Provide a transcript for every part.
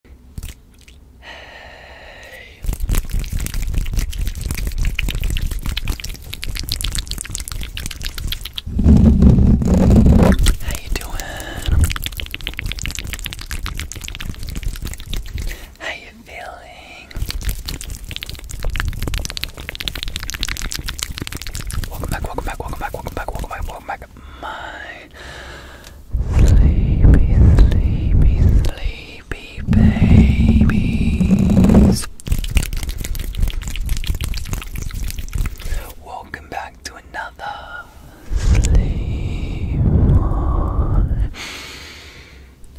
How you doing? How you feeling? Welcome back, welcome back, welcome back, welcome back, welcome back, welcome back, my sleepy, sleepy, sleepy babies. Welcome back to another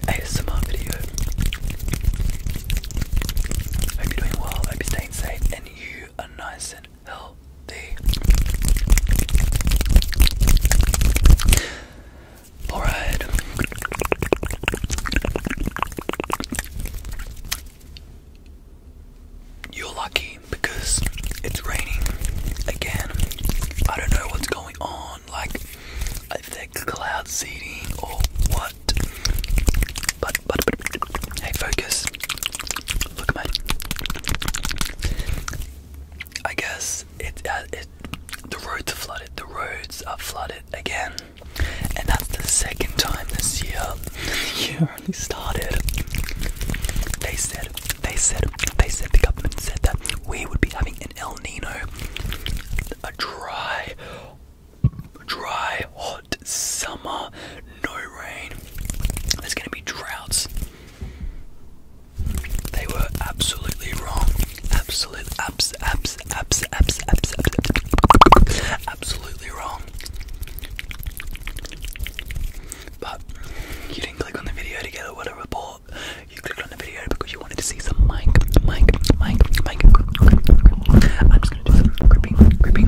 ASMR video. Hope you're doing well, hope you're staying safe, and you are nice and Alright. You're lucky because it's raining again. I don't know what's going on, like if they cloud seeding or what. But, but, but, hey, focus. Look at my. I guess it, uh, the roads are flooded. The roads are flooded again, and that's the second time this year. The year only started. They said, they said, they said the government said that we would be having an El Nino, a dry, dry, hot summer, no rain. There's gonna be droughts. They were absolutely wrong. Absolute, abs, abs, abs, abs, abs, absolutely wrong. But you didn't click on the video to get a report. You clicked on the video because you wanted to see some mic, mic, mic, mic. I'm just gonna do some gripping, gripping,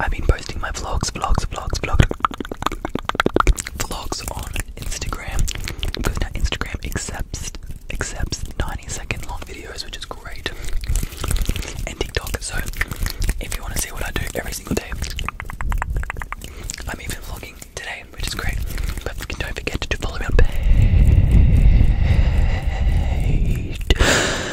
I've been posting my vlogs, vlogs, vlogs, vlogs, vlogs on Instagram because now Instagram accepts accepts 90 second long videos, which is great, and TikTok. So if you want to see what I do every single day, I'm even vlogging today, which is great. But don't forget to follow me on page.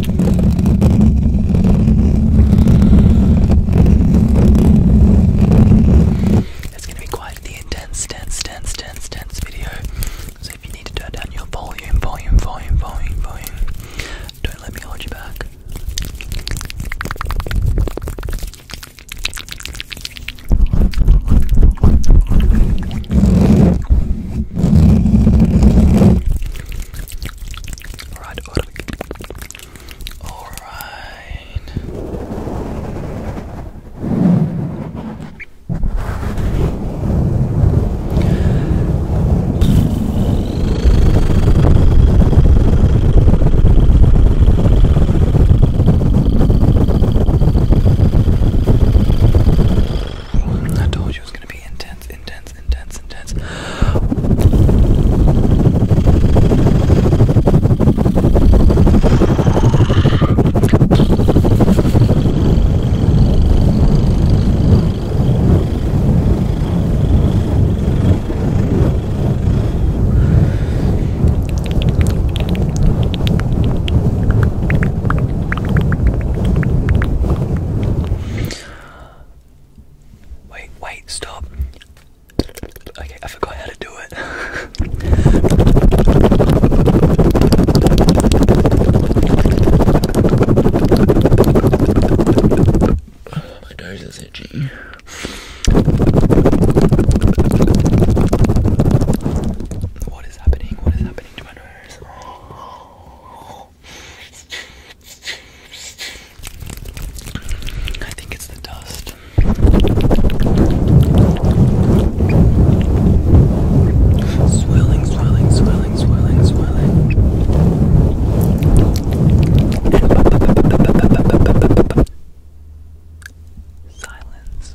It's gonna be quite the intense, dense, dense, dense, video. So if you need to turn down your volume, volume, volume, volume, volume, don't let me hold you back. Alright, all right. I told you it was going to be intense, intense, intense, intense, intense. Wait, wait, stop. Okay, I forgot how to do it. my nose are itchy. What is happening? What is happening to my nose? I think it's the dust. Swirling, swirling, swirling, swirling, swirling. Silence.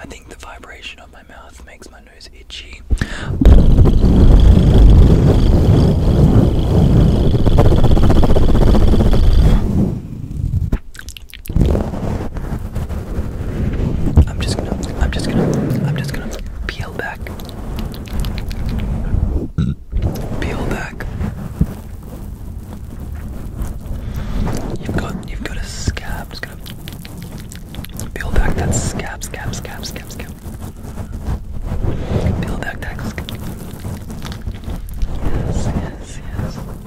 I think the vibration of my mouth makes my nose itchy. I'm just gonna, I'm just gonna, I'm just gonna peel back, peel back. You've got, you've got a scab. i gonna peel back that scab, scab, scab, scab, scab. Peel back that scab. Yes, yes, yes.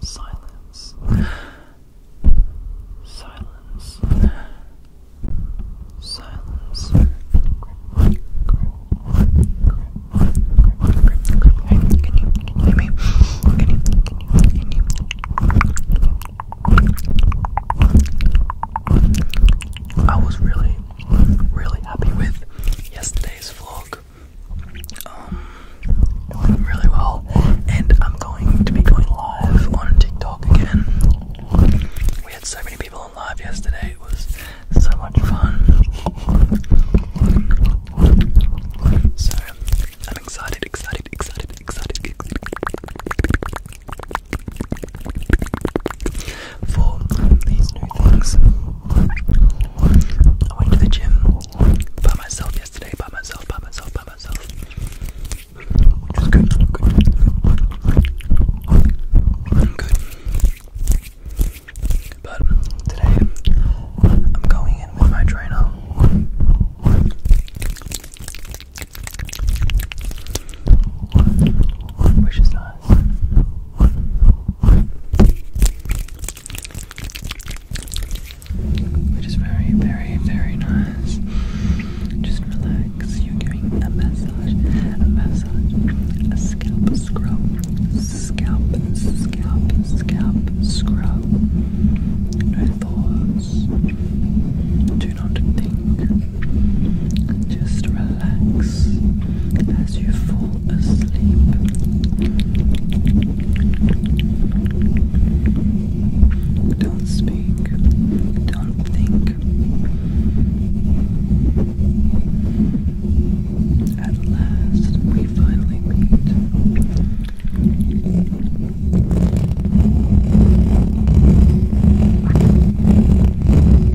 Silence. Silence. Silence. can you can you I was really, really happy with yesterday vlog um, really well, and I'm going to be going live on TikTok again. We had so many people on live yesterday, it was so much fun. So, I'm excited, excited, excited, excited for these new things. I went to the gym by myself yesterday, by myself, by myself, by myself. Which was good, good, good. But today I'm going in with my trainer. Which is nice. It is very, very, very nice. Just relax. You're doing a massage, a massage, a scalp scrub, scalp, scalp, scalp scrub. No thoughts. Do not think. Just relax as you fall asleep. Don't speak, don't think. At last, we finally meet.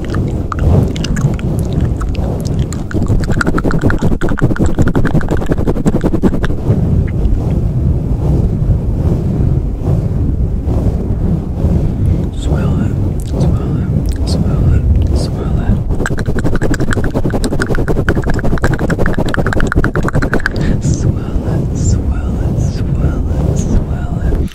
Swirl it, swirl it, swirl it, swirl it. Swirl it, swirl it, swirl it, swirl it.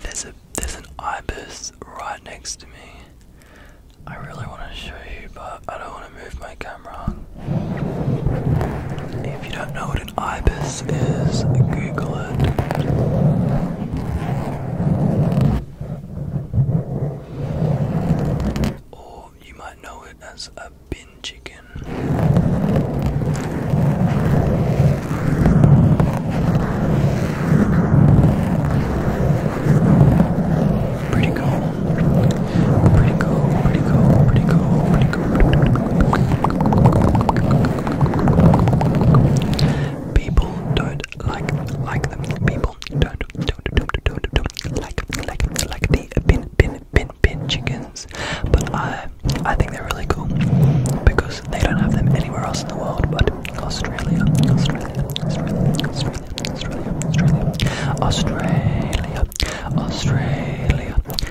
there's a there's an ibis right next to me. I really want to show you, but I don't want to move my camera. If you don't know what an ibis is, Google it. Or you might know it as a bin chicken. Pretty cool. Pretty cool, pretty cool, pretty cool, pretty People don't like like them. People don't don't don't don't don't like like like the bin bin bin bin chickens. But I I think they're really cool because they don't have them anywhere else in the world but Australia, Australia, Australia, Australia, Australia, Australia, Australia, Australia,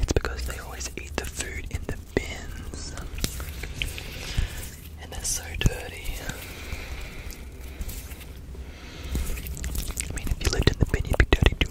it's because they always eat the food in the bins. And they're so dirty. I mean, if you lived in the bin, you'd be dirty too.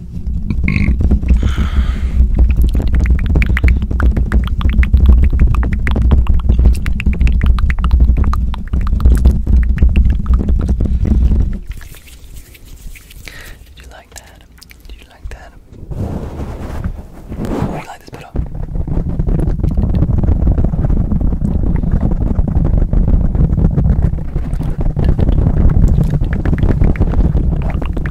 Did you like that? Did you like that? Oh, you like this better?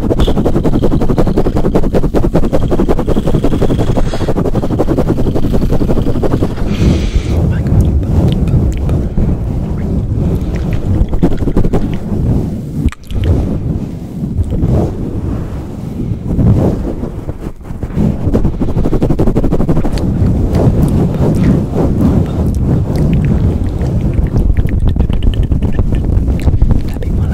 That'd be my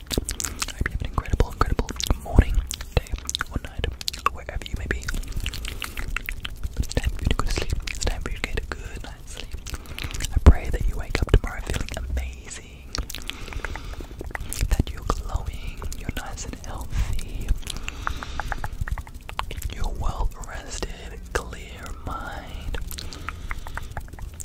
have an incredible, incredible morning, day, or night, wherever you may be. It's time for you to go to sleep. It's time for you to get a good night's sleep. I pray that you wake up tomorrow feeling amazing, that you're glowing, you're nice and healthy, you're well rested, clear mind.